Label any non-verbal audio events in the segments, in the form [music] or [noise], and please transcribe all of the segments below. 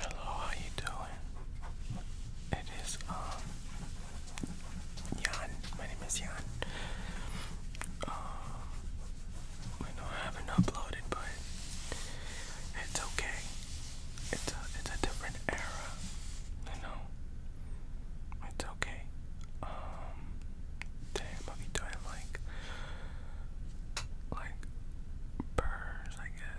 Hello, how you doing? It is um Jan. My name is Jan. Um, I know I haven't uploaded, but it's okay. It's a it's a different era. I know. It's okay. Um, today I'm going like like birds, I guess.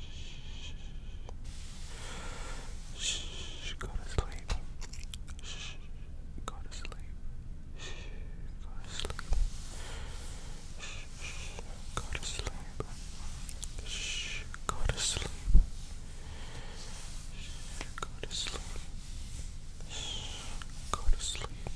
Shh. Shh. Go to sleep. Shh. Go to sleep. Shh. Go to sleep. Shh. Go to sleep. Shh. Go to sleep. Shh. Go to sleep. Shh. Go to sleep.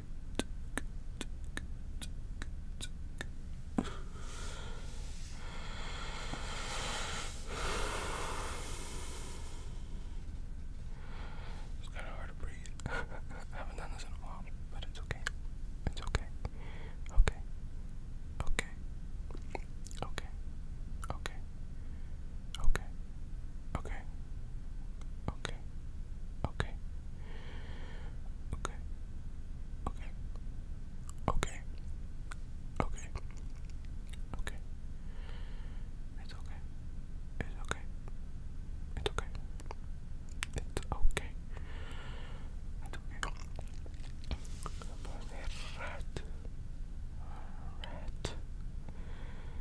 It's kind of hard to breathe. [laughs] I haven't done this in a while, but it's okay. It's okay. Okay. Okay. Okay. Okay. Okay. Okay. Okay. Okay. Okay. Okay. Okay. Okay. Okay. Okay. It's okay. It's okay. It's okay. It's okay. It's okay.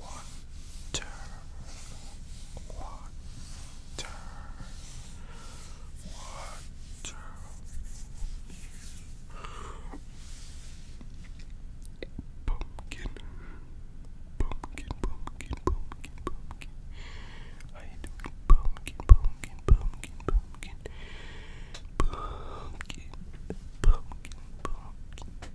Water, water, water. Pumpkin, pumpkin, pumpkin, pumpkin, pumpkin. How you doing? Pumpkin, pumpkin, pumpkin, pumpkin, pumpkin, pumpkin, pumpkin, pumpkin. pumpkin.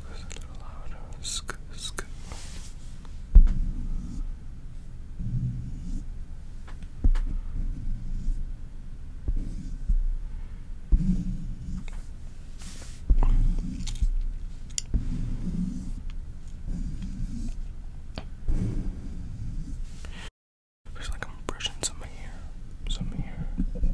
it's a little louder. Sk sk. There's like I'm brushing some here, some here,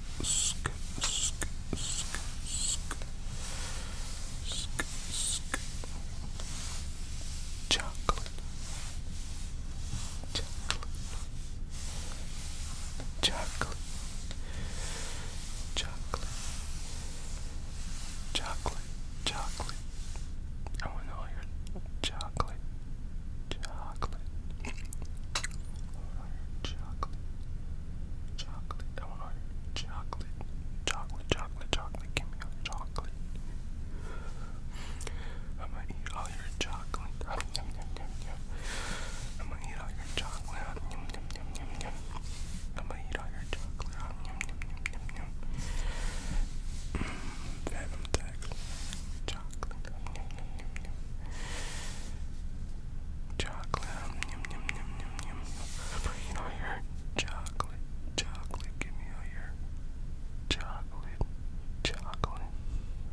sk, sk, sk, sk, sk, sk. Chocolate. Chocolate. Chocolate. Chocolate. Chocolate. Chocolate. I want all your chocolate. Chocolate want chocolate, chocolate, I want chocolate, chocolate, chocolate, chocolate, give me chocolate. I'm gonna eat all your chocolate. Yum, yum, yum, yum, I'm gonna eat all your chocolate. Yum, yum, yum, yum, yum. I'm gonna eat all your chocolate. Yum, yum, yum, yum, yum. Venom tag. Chocolate. Chocolate. Chocolate. Give me all your chocolate. Chocolate. Give me all your chocolate. Chocolate.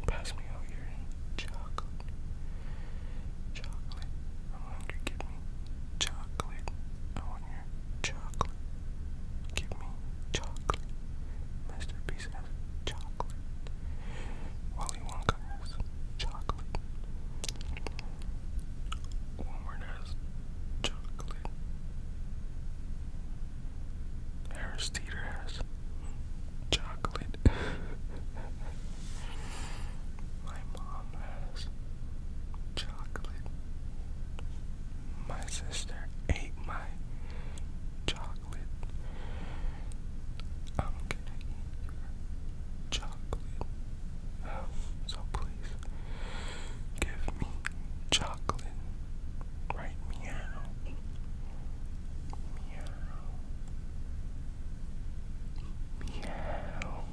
Pass me all your chocolate. Chocolate. I'm hungry. Give me chocolate. I want your chocolate. Give me chocolate. Mr chocolate. Willy Wonka has chocolate. Walmart has [laughs] chocolate. Harris has chocolate. My mom has chocolate. My sister ate my chocolate. Oh, I'm gonna eat your chocolate. so please give me chocolate. meow. Meow. Meow. meow. meow.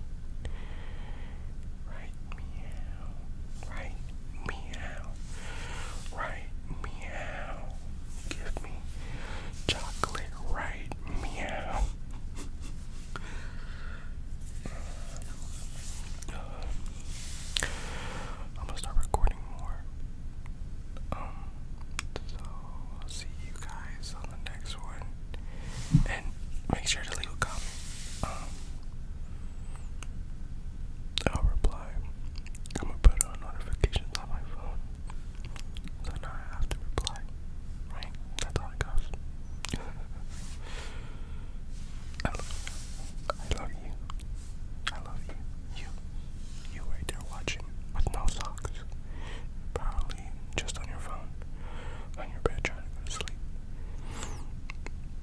meow meow. Give me chocolate right meow. I'm gonna start recording more. Um, so I'll see you guys on the next one, and make sure to leave a comment. Um, I'll reply. I'm gonna put on notifications on my phone. So now I have to reply. Right? That's how it goes. [laughs] I love you. I love you. You. You right there watching with no socks. Probably just on your phone. On your bed trying to go to sleep.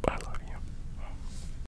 I love you.